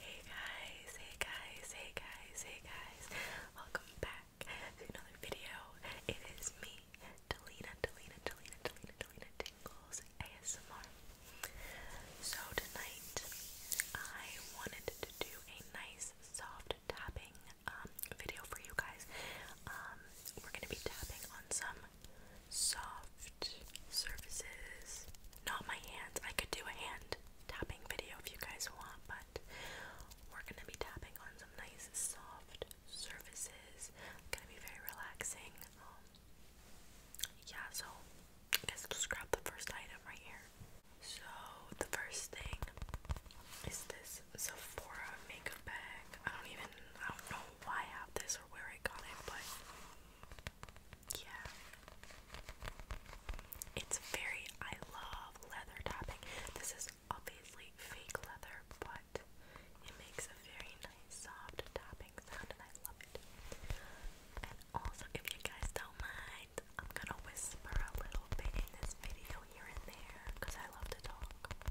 Hey guys, hey guys, hey guys, hey guys. Welcome back to another video. It is me, Delina, Delina, Delina, Delina, Delina Tingles ASMR. So tonight I wanted to do a nice soft tapping um, video for you guys. Um, we're gonna be tapping on some soft soft surfaces. Not my hands. I could do a hand tapping video if you guys want, but we're gonna be tapping on some nice soft surfaces. Gonna be very relaxing. Um, yeah, so I guess just grab the first item right here. So the first thing is this Sephora makeup bag. I don't even I don't know why I have this or where I got it, but yeah. It's very, I love leather tapping. This is obviously fake leather, but it makes a very nice, soft topping sound, and I love it. And also, if you guys don't mind, I'm gonna whisper a little bit in this video here and there because I love to talk.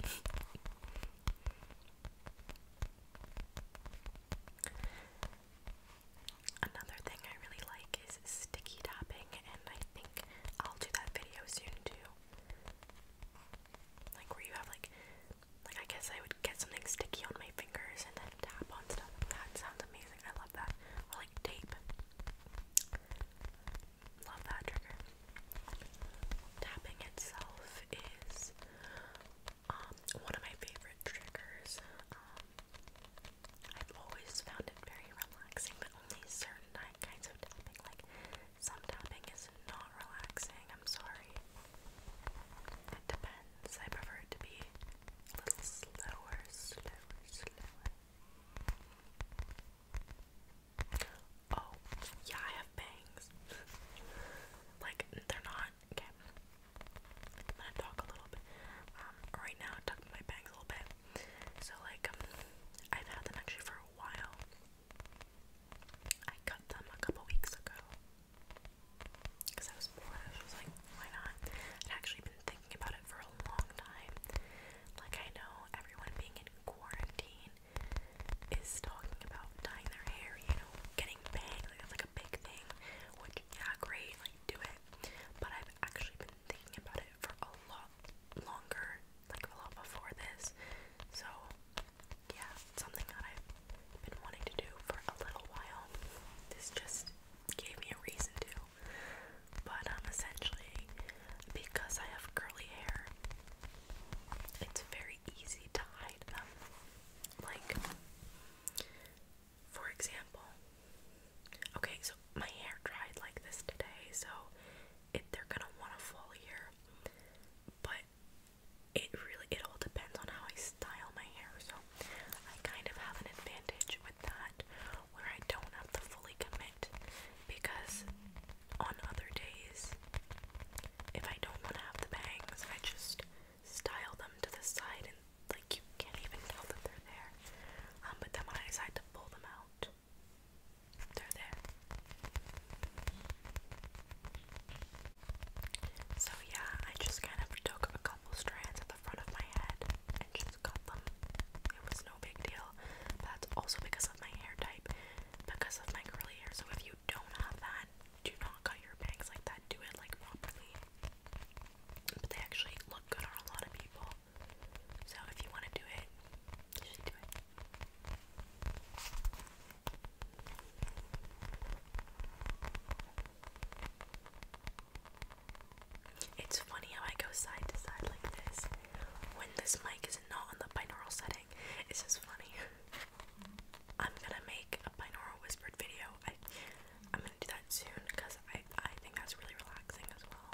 Another thing I really like is sticky tapping, and I think I'll do that video soon too. Like where you have like, like I guess I would get something sticky on my fingers and then tap on stuff. That sounds amazing. I love that. Or like tape. Love that trigger. Tapping itself is um, one of my favorite triggers. Um, I've always found it very relaxing, but only certain kinds of tapping. Like some tapping is not relaxing. I'm sorry. It depends. I prefer it to be a little slower, slower, slower. Oh, yeah, I have bangs. like, they're not not again. i talk a little bit. Um, right now I tucked my bangs a little bit. So like um, I've had them actually for a while. I cut them a couple weeks ago. Cause I was bored. I was like, why not? I'd actually been thinking about it for a long time. Like I know everyone being in quarantine is talking about dyeing their hair, you know, getting bangs. Like that's like a big thing, yeah, great, like do it. But I've actually been thinking about it for a lot longer, like a lot before this. So yeah, something that I've been wanting to do for a little while. This just gave me a reason to. But um essentially because I have curly hair, it's very easy to hide them. Like for example, okay, so my hair dried like this today, so it, they're gonna want a full ear, but it really it all depends on how I style my hair. So I kind of have an advantage with that, where I don't have to fully commit because on other days, if I don't want to have the bangs, I just style them to the side like you can't even tell that they're there. Um, but then when I decide to pull them out, they're there. So yeah, I just kind of took a couple strands at the front of my head and just cut them. It was no big deal. That's also because of my hair type, because of my curly hair. So if you don't have that, do not cut your bangs like that. Do it like properly. But they actually look good on a lot of people. So if you want to do it, you should do it. It's funny how I go side to side like this when this mic is not on the binaural setting. It's just funny. I'm gonna make a binaural whispered video. I'm gonna do that soon because I I think that's really relaxing as well.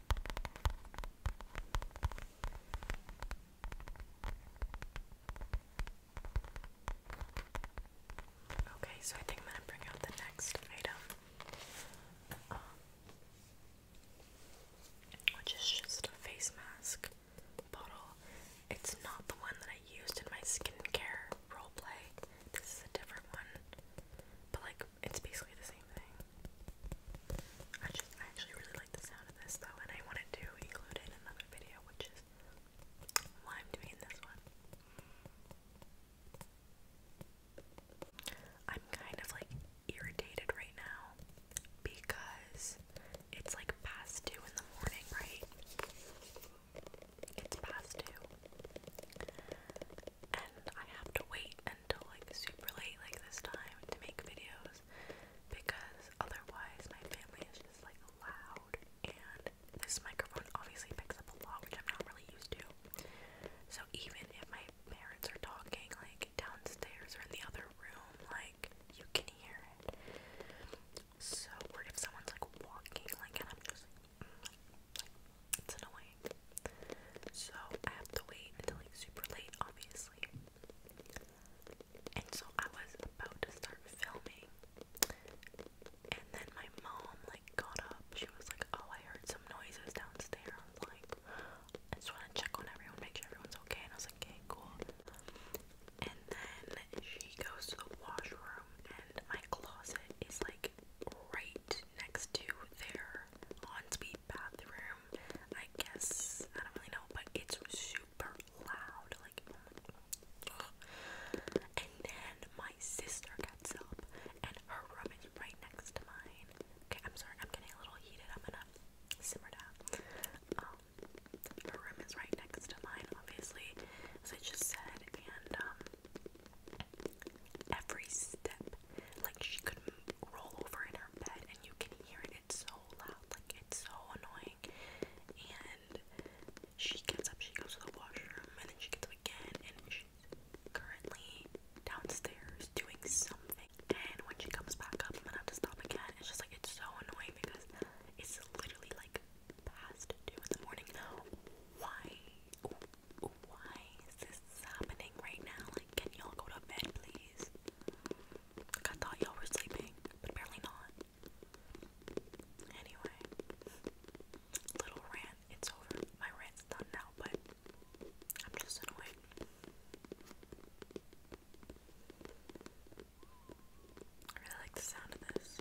Okay, so I think I'm gonna bring out the next item, um, which is just a face mask bottle. It's not the one that I used in my skincare roleplay. This is a different one, but like it's basically the same thing. I just actually really like the sound of this though, and I wanted to include it in another video, which is why I'm doing this one. I'm kind of like irritated right now because it's like past two in the morning, right? It's past two. And I have to wait until like super late like this time to make videos because otherwise my family is just like loud and this microphone obviously picks up a lot which I'm not really used to. So even if my parents are talking like downstairs or in the other room, like you can hear it. So or if someone's like walking like and I'm just like mm, it's annoying. So I have to wait until like super late, obviously. And so I was about to start filming, and then my mom like got up. She was like, "Oh, I heard some noises downstairs." I am like, "I just want to check on everyone, make sure everyone's okay." And I was like, "Okay, cool." And then she goes to the washroom, and my closet is like right next to their on bathroom. I guess I don't really know, but it's super loud. Like, and then my sister gets up, and her room is right next to mine. Okay, I'm sorry, I'm getting a little heated. I'm gonna simmer down. Um, her room is right next to mine, obviously, as I just said, and um, every like she could roll over in her bed and you can hear it. It's so loud. Like it's so annoying. And she gets up, she goes to the washroom, and then she gets up again. And she's currently downstairs doing something. And when she comes back up, I'm gonna have to stop again. It's just like it's so annoying because it's literally like past two in the morning. Why? why is this happening right now? Like, can y'all go to bed, please? I thought y'all were sleeping, but apparently not. Anyway, little rant, it's over. My rant's done now, but I'm just annoyed. I really like the sound of this.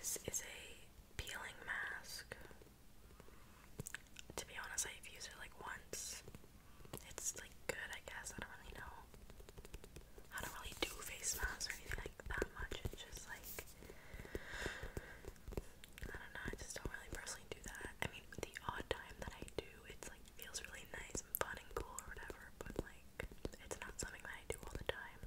This is a peeling mask. To be honest, I've used it like once. It's like good, I guess. I don't really know. I don't really do face masks or anything like that much. It's just like I don't know, I just don't really personally do that. I mean, the odd time that I do, it's like feels really nice and fun and cool or whatever, but like it's not something that I do all the time.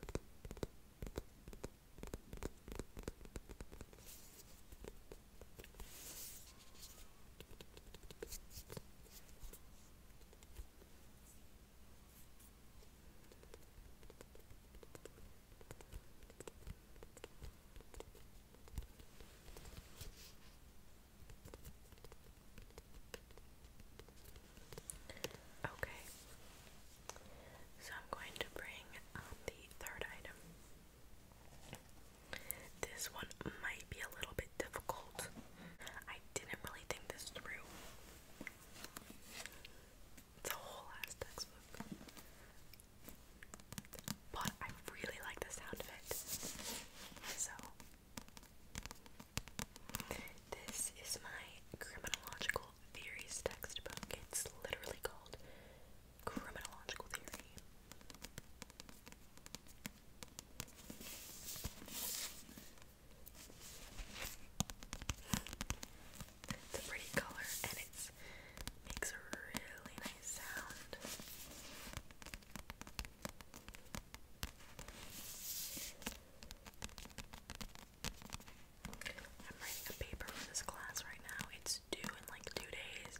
Okay, so I'm going to bring um, the third item. This one might be a little bit difficult. I didn't really think this through. It's a whole textbook. But I really like the sound of it. So, this is my criminological theories textbook. It's literally called Criminological Theory. It's a pretty color and it makes a really nice sound. I'm writing a paper for this class right now. It's due in like two days.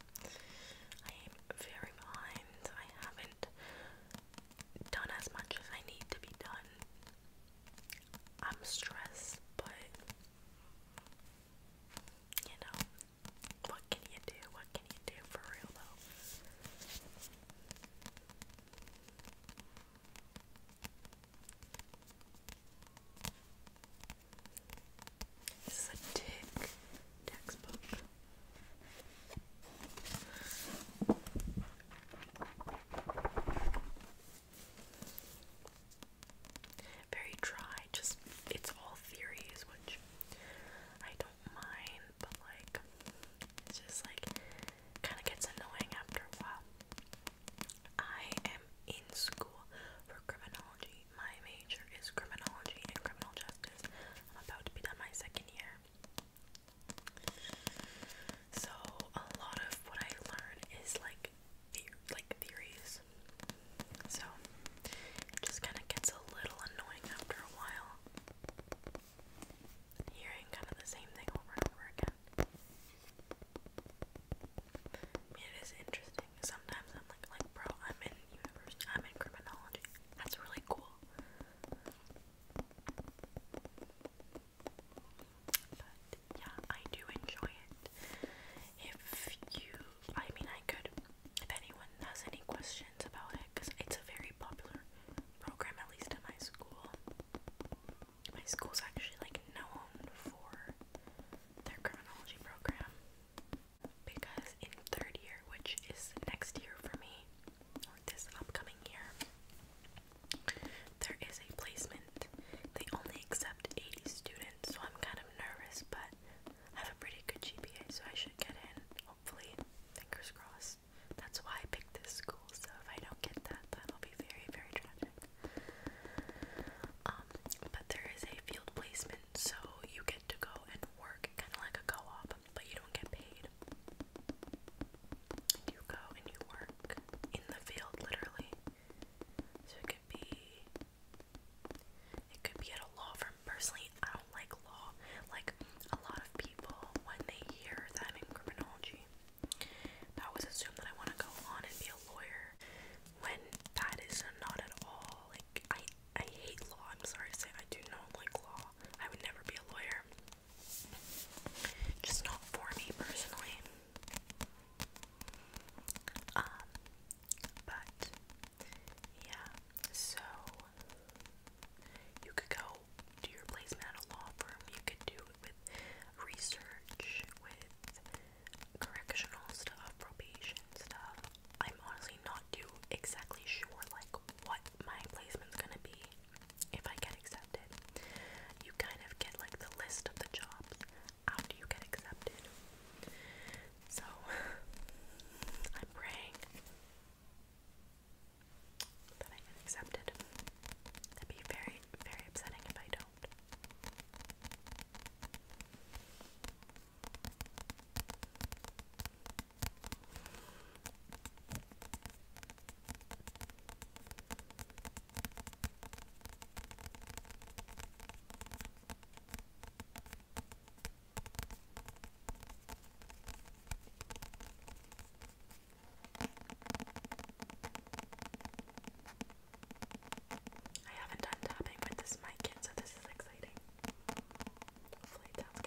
I am very behind. I haven't done as much as I need to be done. I'm stressed, but you know, what can you do? What can you do for real though? This is a tick textbook very dry, just it's all theories, which I don't mind, but like it's just like kind of gets annoying after a while. I am in school for criminology. My major is criminology and criminal justice. I'm about to be done my second year. So a lot of what I learn is like like theories. So it just kind of gets a little annoying after a while. Hearing kind of the same thing over and over again. it is interesting. Sometimes I'm like, like, bro, I'm in university, I'm in criminology. That's really cool. But yeah, I do enjoy it. If you I mean, I could, if anyone has any questions about it, because it's a very popular program, at least at my school. My school's actually like known for their criminology program because in third year, which is next year for me, or this upcoming year, there is a placement. They only accept 80 students, so I'm kind of nervous, but I have a pretty good GPA, so I should get in, hopefully. Fingers crossed. That's why I picked this school, so if I don't get that, that'll be very, very tragic. Um, but there is a field placement, so you get to go and work, kind of like a co op, but you don't get paid. And you go and you work in the field, literally. So it could be it could be at a law firm. Personally, I don't like law. Like a lot of people, when they hear that I'm in criminology, they was assumed that I want to go on and be a lawyer. When that is not at all. Like I, I hate law. I'm sorry to say, I do not like law. I would never be a lawyer. Just not for me personally. Um, but yeah, so you could go do your placement at a law firm, you could do it with research, with correctional stuff, probation stuff. I'm honestly not too exactly sure like what my placement's gonna be if I get accepted. You kind of get like the list of the jobs after you get accepted. So, I'm praying that I get accepted. That'd be very, very upsetting if I don't. I haven't done tapping with this mic yet, so this is exciting. Hopefully, it sounds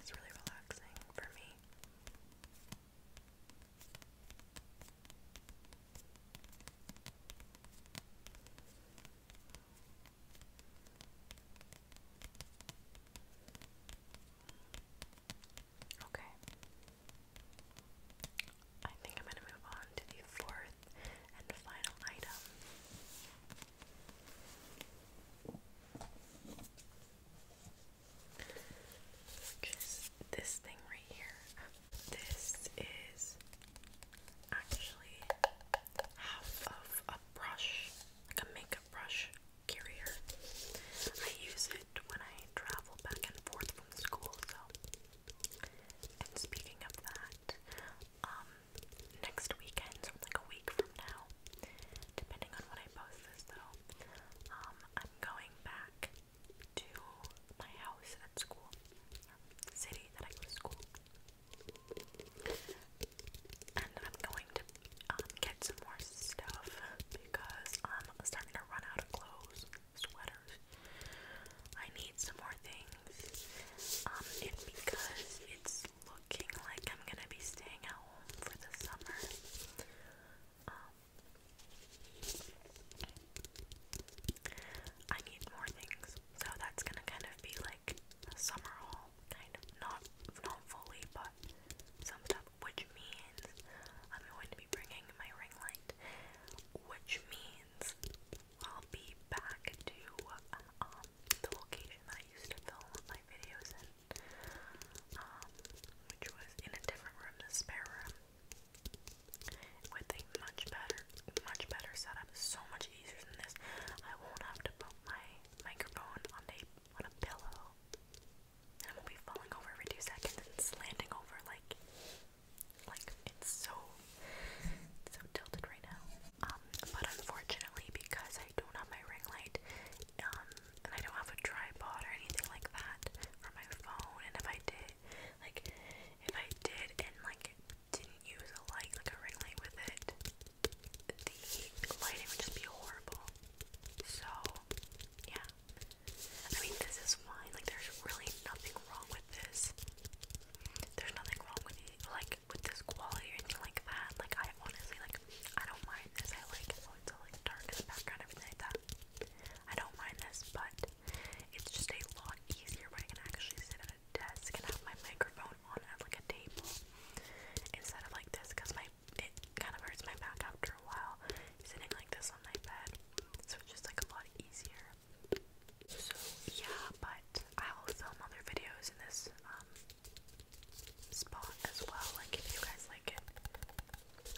It's really relaxing for me. Okay. I think I'm going to move on to the fourth and final item. this thing right here. This is actually half of a brush, like a makeup brush carrier. I use it when I travel back and forth from school, so. And speaking of that, um, next weekend, so like a week from now, depending on when I post this though, um, I'm going back to my house at school, or city that I go to school. And I'm going to um, get some more stuff because I'm starting to run out of clothes, sweaters. I need some more things. Um, and because it's looking like I'm gonna be staying at home for the summer, um, I need more things, so that's gonna kind of be like summer haul, kind of not not fully, but some stuff. Which means I'm going to be bringing my ring light, which means I'll be back to um, the location I used to film my videos in, um, which was in a different room, the spare room with a much better, much better setup. So much easier than this. I won't have to put my microphone on a on a pillow, and I won't be falling over every two seconds and slanting over like like it's so so tilted right now. Um, but unfortunately, because I don't have my ring light, um, and I don't have a tripod or anything like that for my phone, and if I did, like, if I did and like didn't use a light, like a ring light with it, the lighting would just be horrible. So, yeah. I mean, this is fine. Like, there's really nothing wrong with this. There's nothing wrong with it, like with this quality or anything like that. Like, I honestly like, I don't mind this. I like how oh, it's all like dark in the background, everything like that. I don't mind this, but it's just a lot easier when I can actually sit at desk and have my microphone on at like a table instead of like this because my it kind of hurts my back after a while sitting like this on my bed. So it's just like a lot easier. So yeah, but I'll film other videos in this um, spot as well. Like if you guys like it.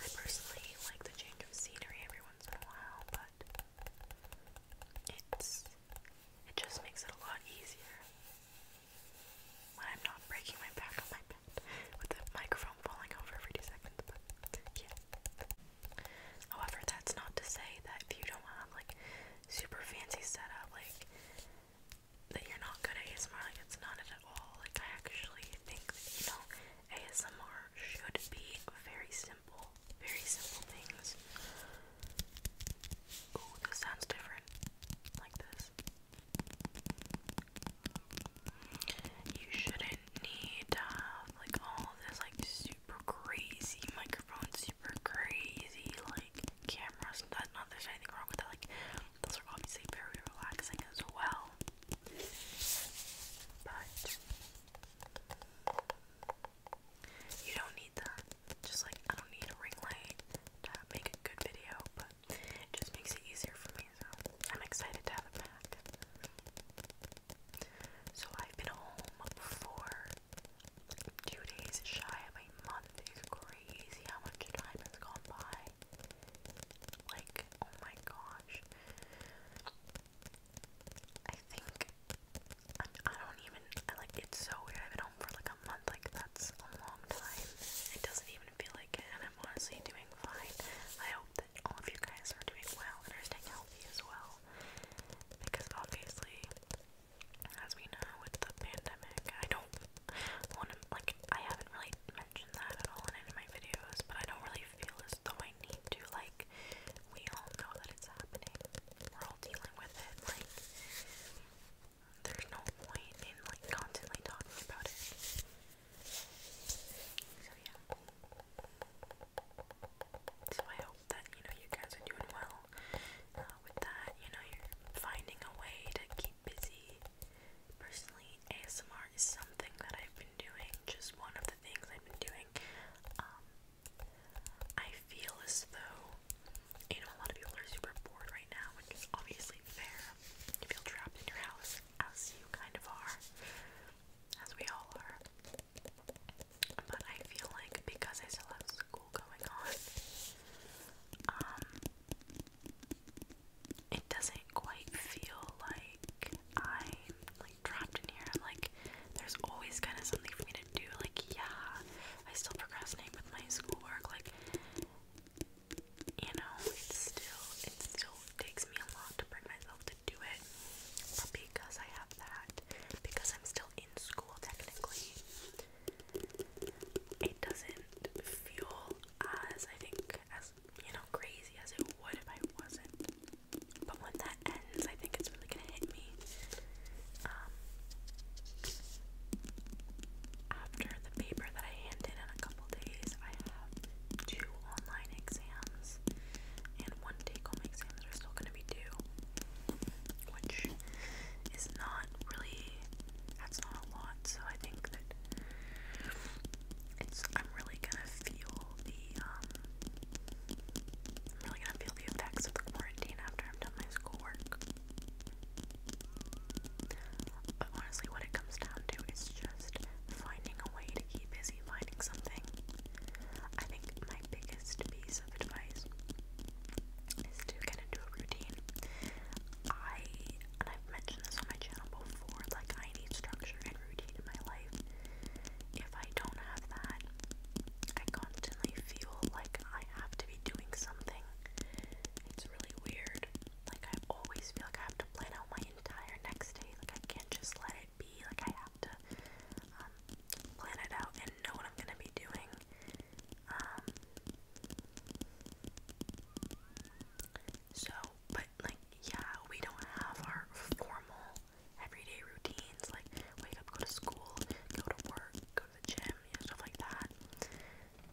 I personally like the change of scenery every once in a while, but it's it just makes it a lot easier I'm not breaking my back on my bed with the microphone falling over every two However, that's not to say that if you don't have like super fancy setup, like that you're not good at ASMR. Like it's not it at all. Like I actually think that you know ASMR should be very simple simple, very simple things. Ooh, this sounds different. Like this. You shouldn't need to have like all this like super crazy microphone, super crazy like cameras. That not there's anything wrong with that. Like those are obviously very relaxing as well. But you don't need that. Just like I don't need a ring light to make a good video, but it just makes it easier for me, so I'm excited to have it back. So I've been home for two days shy of a month. It's crazy how much time has gone by. Like, oh my gosh. I think I, don't even I like it's so weird. I've been home for like a month. Like that's a long time. It doesn't even feel like it, and I'm honestly doing fine. I hope that all of you guys are doing well and are staying healthy as well, because obviously, as we know, with the pandemic, I don't want to like I haven't really mentioned that at all in any of my videos, but I don't really feel as though I need to like. We all know that it's happening. We're all people dealing with it. Like, there's no point in like constantly talking about it. So yeah. So I hope that you know you guys are doing well uh, with that. You know you're finding a way to keep busy. Personally, ASMR is something that I've been doing. Just one of the things I've been doing. Um, I feel as though, you know, a lot of people are super bored right now, which is obviously fair. You feel trapped in your house, as you kind of are, as we all are. But I feel like because I still have school going on, um, it doesn't quite feel like I'm like trapped in here. I'm like like there's always kind of something for me to do. Like, yeah, I still procrastinate with my schoolwork. Like, you know, it's still it still takes me a lot to bring myself to do it. But because I have that, because I'm still in school technically, it doesn't feel as I think as you know crazy as it would if I wasn't. But when that ends. I think it's really gonna hit me. Um, after the paper that I handed in a couple days, I have two online exams and one take-home exam that are still gonna be due, which is not really. That's not a lot, so I think that it's. I'm really gonna feel the um, I'm really gonna feel the effects of the quarantine after I'm done my schoolwork. But honestly, what it comes down to is just finding a way to keep busy finding something. I think my biggest piece of advice is to get into a routine. I, and I've mentioned this on my channel before, like I need structure and routine in my life. If I don't have that, I constantly feel like I have to be doing something. It's really weird. Like, I always feel like I have to plan out my entire next day. Like, I can't just let it be. Like, I have to um, plan it out and know what I'm gonna be doing. Um, so, but like, yeah, we don't have our formal everyday routines like wake up, go to school, go to work, go to the gym, you know, stuff like that.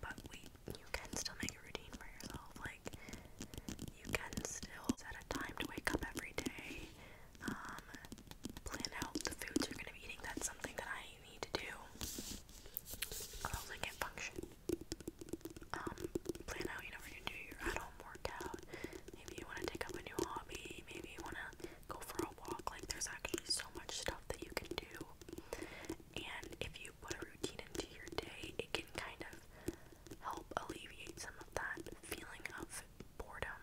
But we, you can still make a routine for yourself. Like, you can still set a time to wake up every day. Um, plan out the foods you're gonna be eating. That's something that I need to do. Otherwise, I can't function. Um, plan out, you know, for you do your at-home workout. Maybe you want to take up a new hobby. Maybe you want to go for a a walk. Like, there's actually so much stuff that you can do. And if you put a routine into your day, it can kind of help alleviate some of that feeling of boredom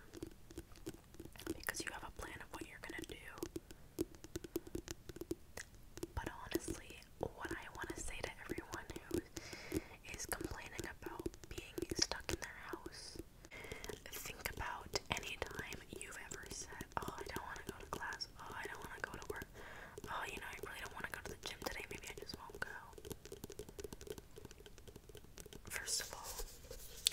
because you have a plan of what you're going to do. But honestly, what I want to say to everyone who is complaining about being stuck in their house Think about any time you've ever said, Oh, I don't want to go to class. Oh, I don't want to go to work. Oh, you know, I really don't want to go to the gym today. Maybe I just won't go. First of all,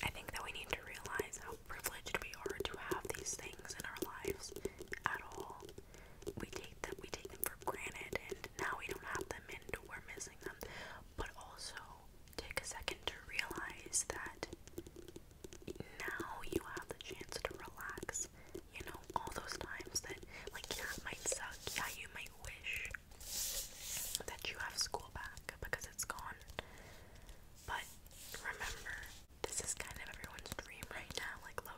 I think that we need to realize how privileged we are to have these things in our lives at all. We take them, we take them for granted, and now we don't have them, and we're missing them. But also, take a second to realize that now you have the chance to relax. You know, all those times that, like, yeah, it might suck. Yeah, you might wish that you have school back because it's gone. But remember, this is kind of everyone's dream right now, like, low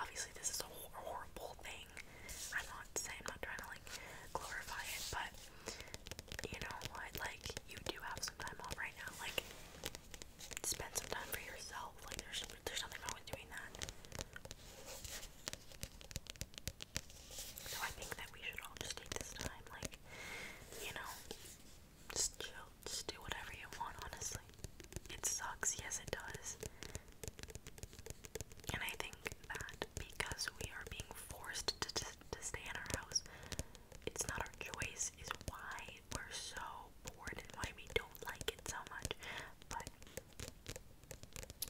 Obviously, this is a horrible thing. I'm not saying, I'm not trying to, like, glorify it, but you know like, you do have some time off right now, like, spend some time for yourself, like, there's, there's nothing wrong with doing that. So I think that we should all just take this time, like, you know, just chill, just do whatever you want, honestly. It sucks, yes it does. And I think that because we are being forced to, to stay in our house, it's not our choice is why we're so bored and why we don't like it so much. But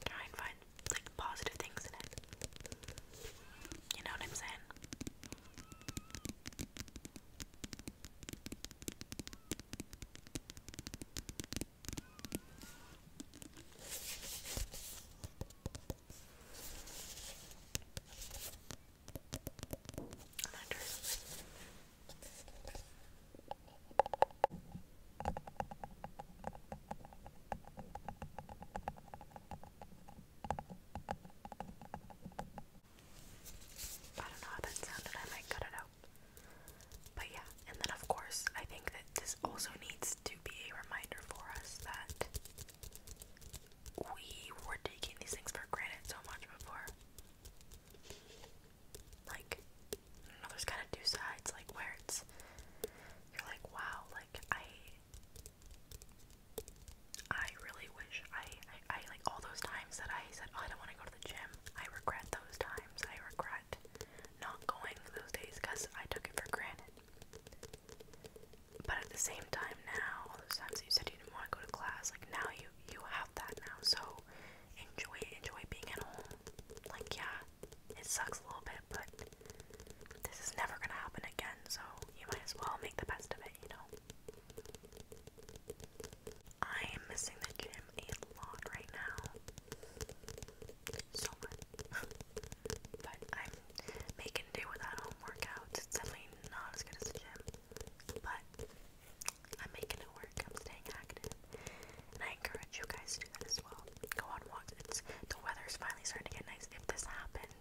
try and find like positive things in it. You know what I'm saying? I'm don't know how that sounded, I might cut it out. But yeah, and then of course, I think that this also needs to be a reminder for us that we were taking these things for granted so much before. Like, I don't know, there's kind of two sides, like, where it's, you're like, wow, like, I, I really wish I, I, I like, all those times that I said, oh, I don't want to go to the gym, I regret those times, I regret not going those days because I took it for granted. But at the same time now, all those times that you said you didn't want to go to class, like now you you have that now. So enjoy enjoy being at home. Like yeah, it sucks a little bit, but this is never gonna happen again, so you might as well make the best of it, you know. I am missing the gym a lot right now. So much. but I Make and do with at home workouts. It's definitely not as good as the gym, but I'm making it work. I'm staying active, and I encourage you guys to do that as well. Go on walks. It's the weather's finally starting to get nice. If this happened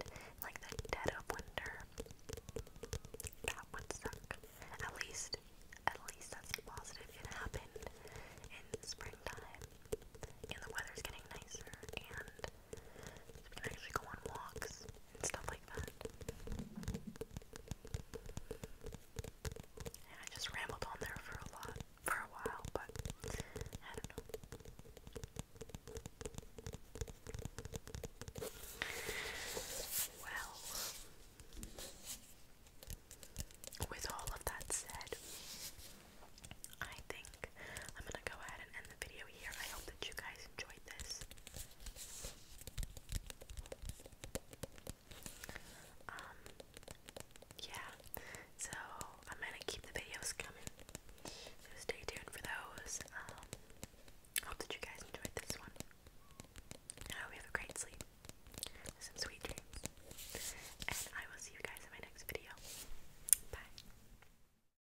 like the dead of winter, that would suck. At least, at least that's the positive. It happened in springtime, and the weather's getting nicer, and so we can actually go on walks and stuff like that. And I just rambled on there for a lot, for a while, but I don't know. Well, with all of that said, I think I'm gonna go ahead and end the video here. I hope that you guys enjoyed this. Um, yeah, so I'm gonna keep the videos coming. So stay tuned for those. Um, hope that you guys enjoyed this one. And I hope you have a great sleep. Some sweet dreams. And I will see you guys in my next video. Bye.